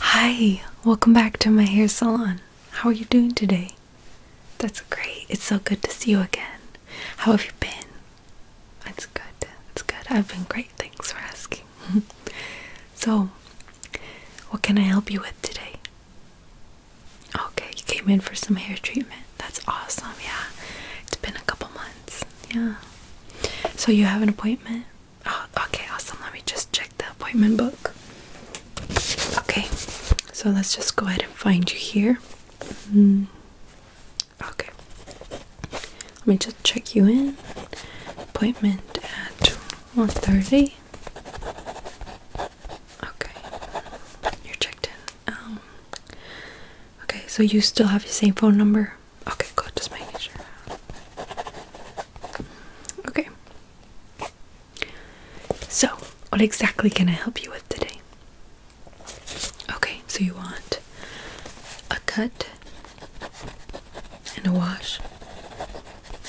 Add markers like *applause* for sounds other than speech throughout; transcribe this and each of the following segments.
Hi, welcome back to my hair salon. How are you doing today? That's great. It's so good to see you again. How have you been? It's good. That's good. I've been great. Thanks for asking. *laughs* so, what can I help you with today? Okay, you came in for some hair treatment. That's awesome. Yeah. It's been a couple months. Yeah. So, you have an appointment? Ah, okay, awesome. Let me just check the appointment book. Okay, so let's just go ahead and find you here. Mm-hmm. Okay, let me just check you in. Appointment at 1:30. Okay, you're checked in. Um, okay, so you still have your same phone number. Okay, good. Just making sure. Okay. So, what exactly can I help you with today? Okay, so you want a cut and a wash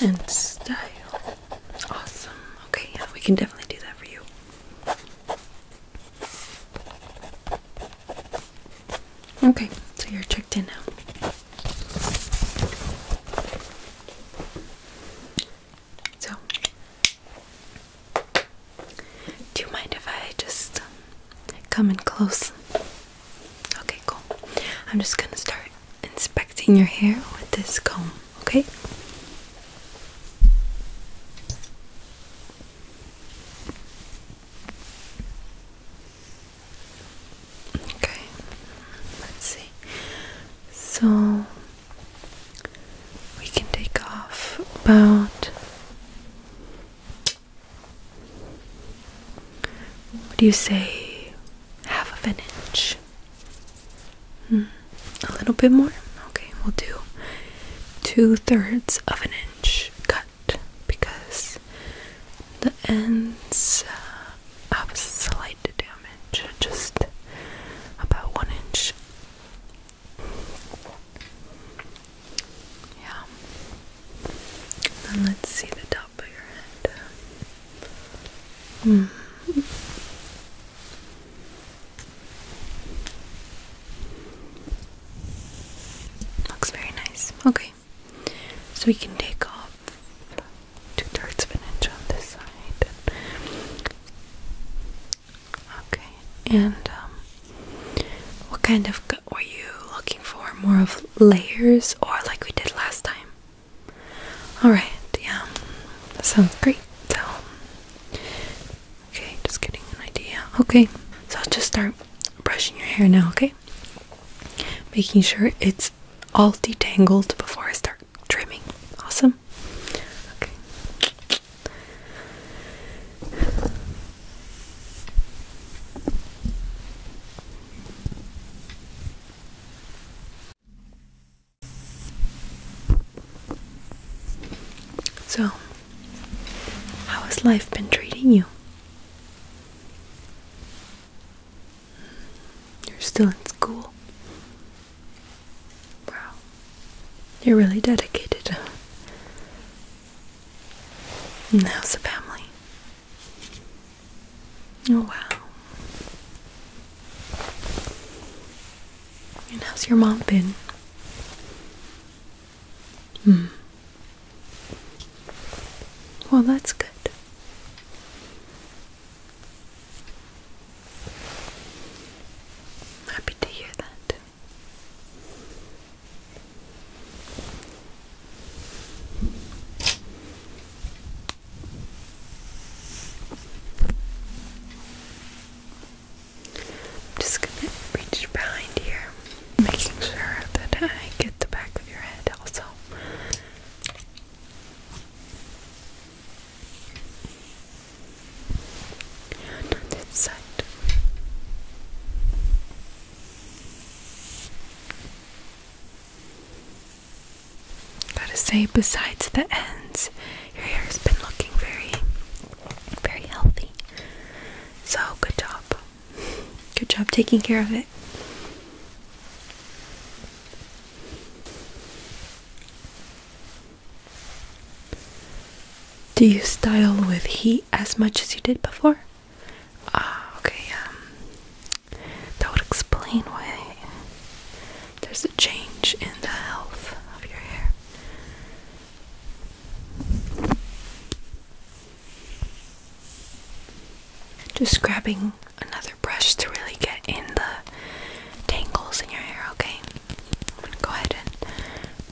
and style. Awesome. Okay, yeah, we can definitely do that for you. Okay, so you're checked in now. So, do you mind if I just um, come in close? Okay, cool. I'm just gonna start inspecting your hair with this comb, okay? Okay, let's see. So we can take off about what do you say? Half of an inch. Hmm. A little bit more? Okay, we'll do two thirds of an inch cut because the ends uh, have slight damage, just about one inch. Yeah. Then let's see the top of your head. Hmm. Looks very nice. Okay. So we can take off two thirds of an inch on this side. Okay, and um, what kind of cut were you looking for? More of layers or like we did last time? Alright, yeah, sounds great. So, okay, just getting an idea. Okay, so I'll just start brushing your hair now, okay? Making sure it's all detangled before I start trimming. Awesome. Okay. So, how has life been treating you? You're still in school. Wow. You're really dedicated. And how's the family? Oh, wow. And how's your mom been? Hmm. Well, that's good. Happy to hear that. I'm just gonna reach behind here making sure that I get the back of your head also. on this side. Gotta say, besides the ends, your hair has been looking very, very healthy. So, good job. Good job taking care of it. Do you style with heat as much as you did before? Ah, okay, um, that would explain why there's a change in the health of your hair. Just grabbing another brush to really get in the tangles in your hair, okay? I'm gonna go ahead and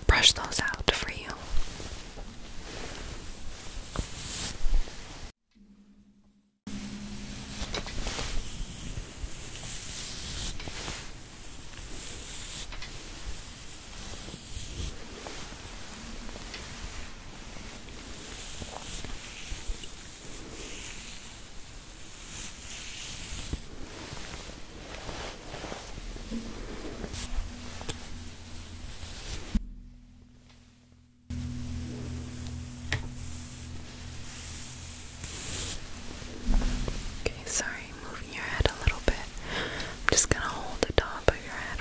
brush those out for you. Okay, sorry, moving your head a little bit. I'm just gonna hold the top of your head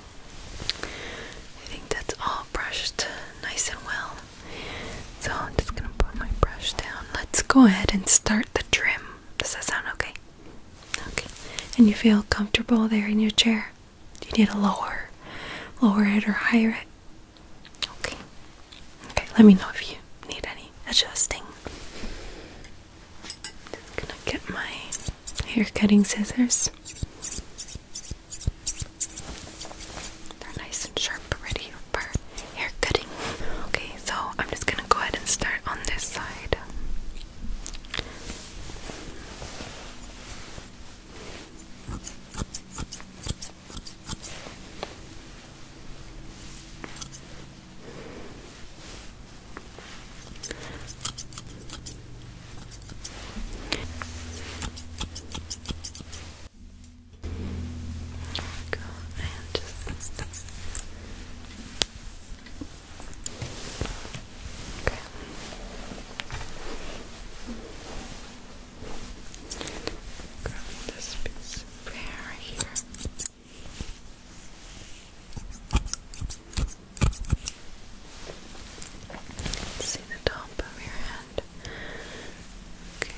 I think that's all brushed nice and well. So I'm just gonna put my brush down. Let's go ahead and start the trim. Does that sound okay? Okay. And you feel comfortable there in your chair? Do you need a lower, lower it or higher it? Okay. Okay. Let me know if you need any adjusting. gonna get my hair cutting scissors. They're nice and sharp, ready for hair cutting. Okay, so I'm just gonna go ahead and start on this side. Go and just okay. Grab this piece of hair right here see the top of your head. Okay.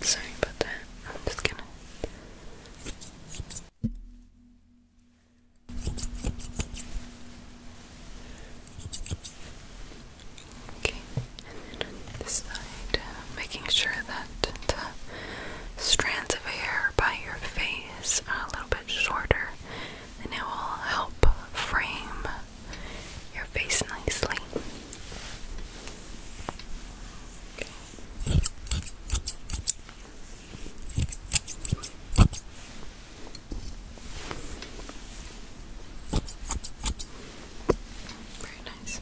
Mm, sorry about that. I'm just gonna. Okay, this side, making sure that the strands of hair by your face are a little bit shorter and it will help frame your face nicely. Very nice.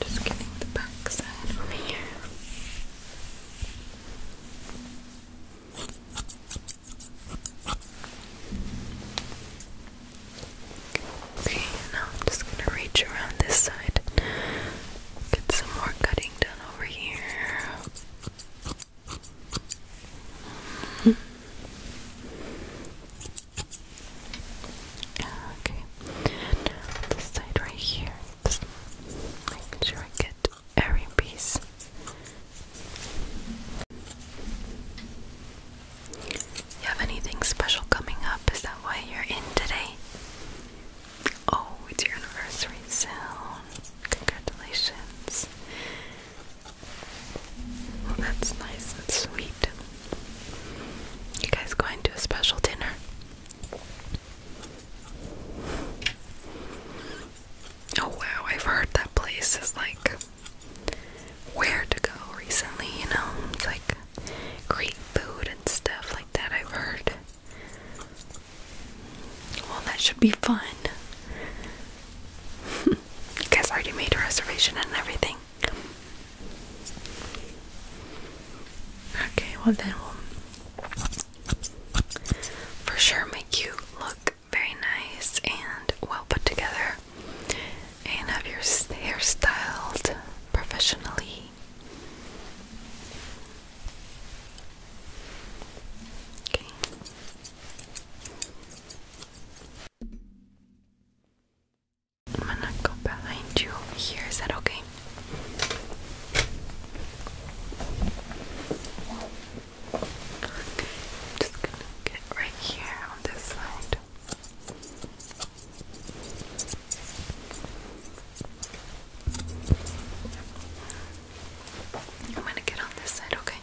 Just getting the back side over here. Okay, now I'm just gonna reach around this side. Get some more cutting done over here okay. this side right here. make sure I get every piece. You have anything special coming up? Is that why you're in today? Oh, it's your anniversary soon. Congratulations that's nice and sweet. You guys going to a special dinner? Oh wow, I've heard that place is like where to go recently, you know? It's like Greek food and stuff like that, I've heard. Well, that should be fun. *laughs* you guys already made a reservation and everything. Okay, well then we'll for sure make you look very nice and well put together and have your hair styled professionally. I'm gonna go behind you here. Is that okay? just gonna get right here on this side. I'm gonna get on this side, okay?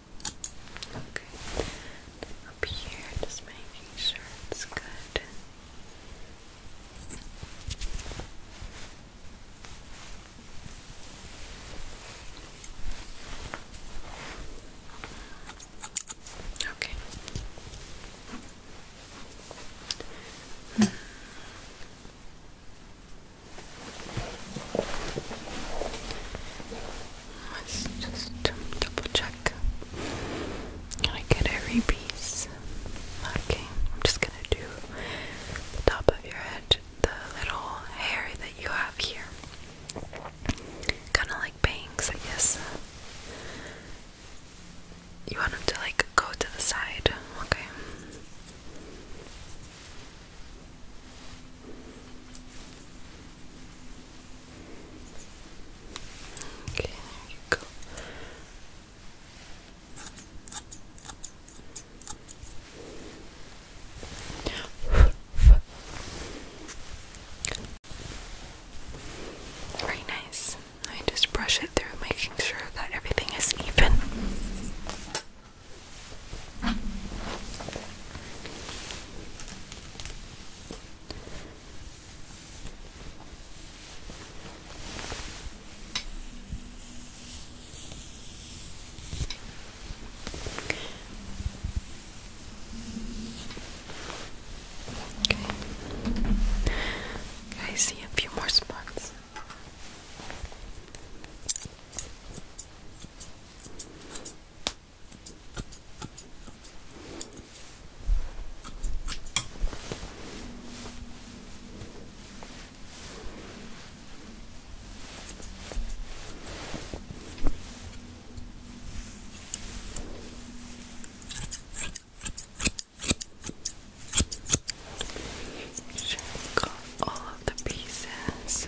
Okay. Up here, just making sure it's good. Okay. Let's just double check. I get every piece? Okay, I'm just gonna do the top of your head, the little hair that you have here. Kinda like bangs, I guess. You want them to like go to the side, okay? Very nice. I just brush it through, making sure that everything is even. Okay. I see a few more spots. Check all of the pieces.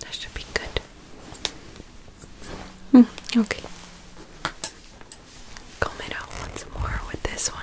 That should be good. Mm, okay. Comb it once more with this one.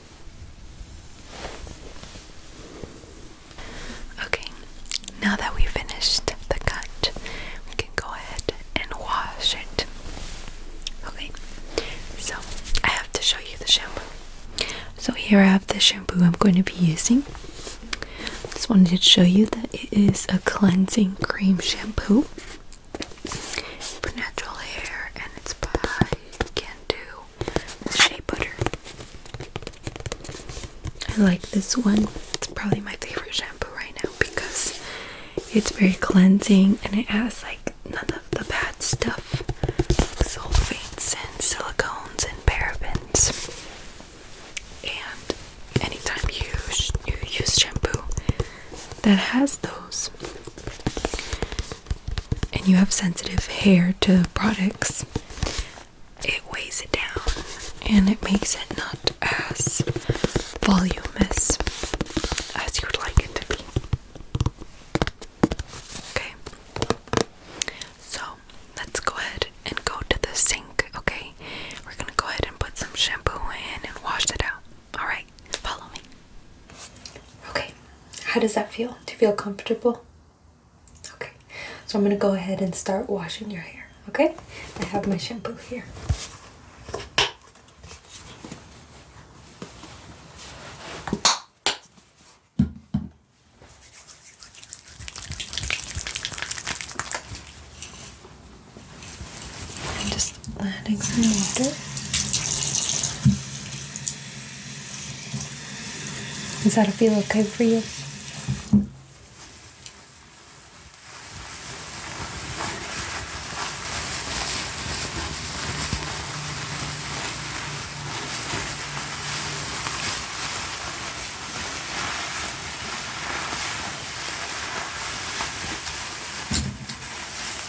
Okay, now that we finished the cut, we can go ahead and wash it. Okay, so I have to show you the shampoo. So, here I have the shampoo I'm going to be using. Just wanted to show you that it is a cleansing cream shampoo for natural hair, and it's by Can shea butter. I like this one. It's probably my favorite shampoo right now because it's very cleansing and it has like none of the bad stuff sulfates and silicones and parabens. And anytime you, you use shampoo that has those, and you have sensitive hair to products, it weighs it down and it makes it not as voluminous as you would like it to be. Okay, so let's go ahead and go to the sink. Okay, we're gonna go ahead and put some shampoo in and wash it out. All right, follow me. Okay, how does that feel? Do you feel comfortable? Okay, so I'm gonna go ahead and start washing your hair. Okay, I have my shampoo here. just adding some water. Does that feel okay for you?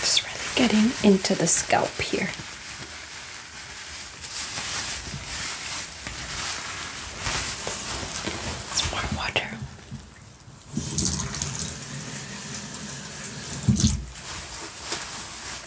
Just really getting into the scalp here. It's more water.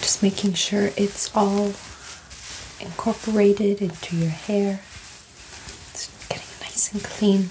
Just making sure it's all incorporated into your hair. It's getting nice and clean.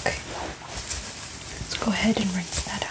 Okay, let's go ahead and rinse that out.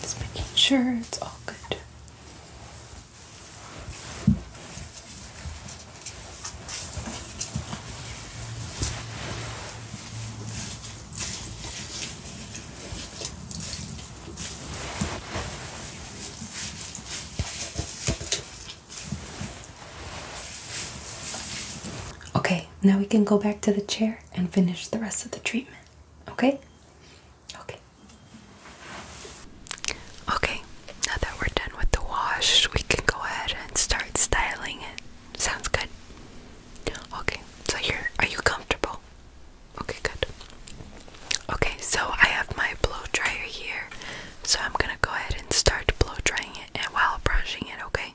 Just making sure it's all good. Okay, now we can go back to the chair and finish the rest of the treatment. Okay? Okay. Okay, now that we're done with the wash, we can go ahead and start styling it. Sounds good. Okay, so here, are are you comfortable? Okay, good. Okay, so I have my blow dryer here. So I'm gonna go ahead and start blow drying it and while brushing it, okay?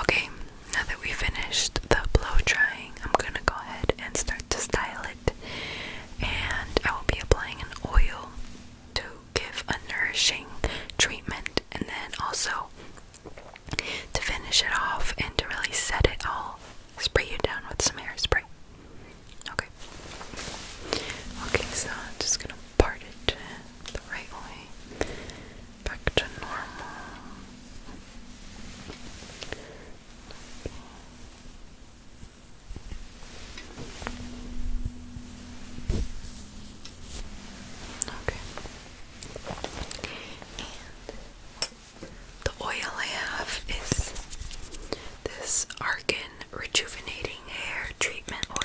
Okay, now that we finished the blow drying, I'm going to go ahead and start to style it. And I will be applying an oil to give a nourishing treatment and then also to finish it off and to really set it all, spray you down with some hairspray. Okay. Okay, so I'm just gonna part it the right way. Back to normal. Okay. The oil I have is this Argan Rejuvenating Hair Treatment Oil.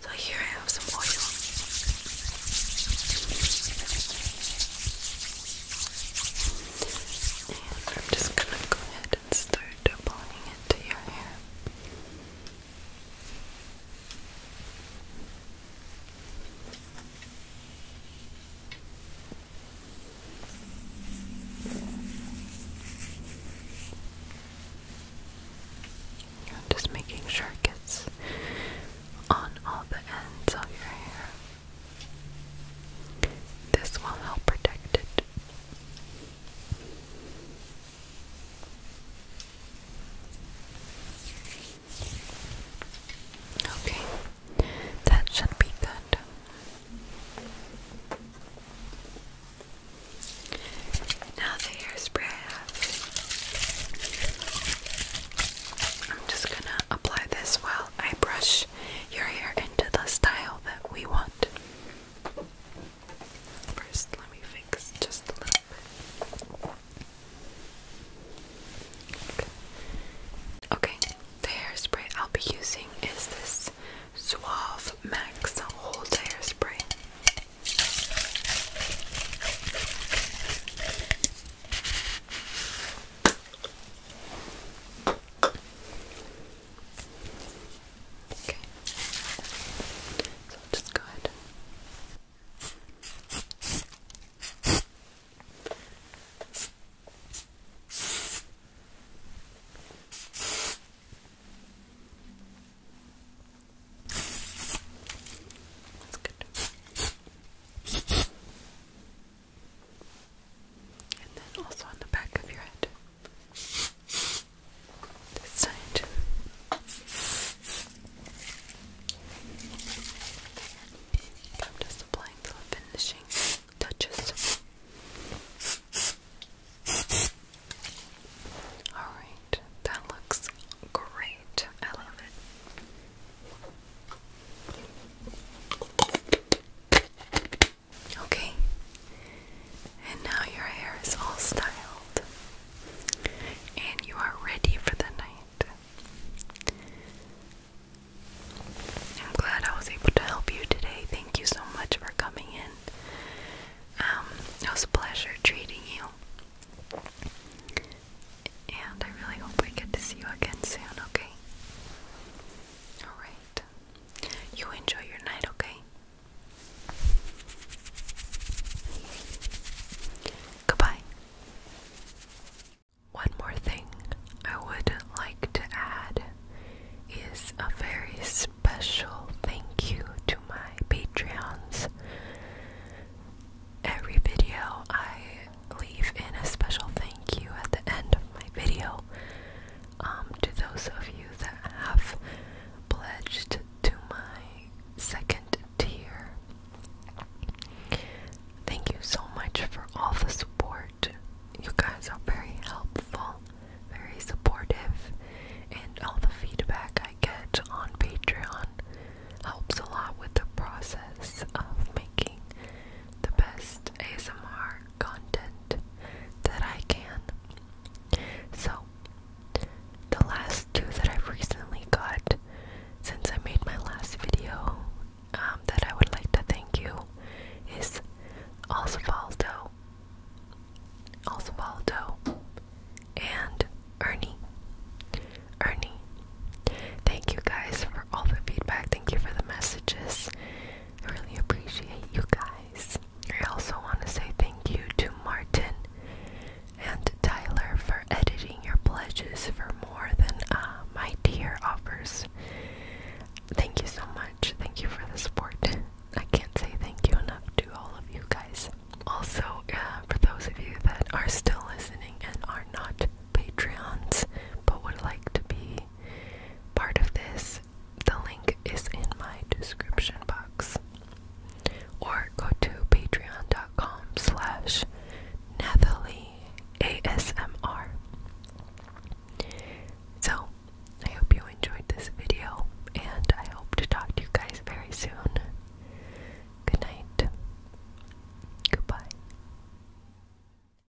So here I have some oil. And I'm just gonna go ahead and start applying it to your hair. just making sure it gets on all the ends of your hair. This will help protect it Okay, that should be good. Now the hairspray I I'm just gonna apply this while I brush match your hair into the style that we want. First, let me fix just a little bit. Okay, the hairspray I'll be using is this Suave Max Hold Hairspray. Okay. So just go ahead that's good and then also on the back of your head. This side. I'm just applying the finishing touches. Alright, that looks great. I love it. Okay. And now your hair is all styled. And you are ready for the night. I'm glad I was able to help you today. Thank you so much for coming in. Um, it was a pleasure treating you. And I really hope we get to see you again soon, okay? Alright. You enjoy your night, okay? Goodbye. One more thing I would like to add is a very special thank you to my Patreons. Every video I leave in a special thank you at the end of my video um, to those of you that have pledged to my second tier. Thank you so much for all the support. You guys are very helpful, very supportive, and all the feedback I get on Patreon helps a lot with the process of making the best ASMR content that I can. So, the last two that I've recently got since I made my last video um, that I would like to thank you is Osvaldo, Osvaldo, and Ernie. Ernie. Thank you guys for all the feedback. Thank you for the messages. I really appreciate you guys. I also want to say thank you to Martin and Tyler for editing your pledges for more than uh, my tier offers. Thank you so much. Thank you for the support. I can't say thank you enough to all of you guys. Also, uh, for those of you that are still listening and are not Patreons but would like to be part of this, the link is in my description box. Or go to patreon.com slash Nathalie ASMR. So, I hope you enjoyed this video, and I hope to talk to you guys very soon. Good night. Goodbye.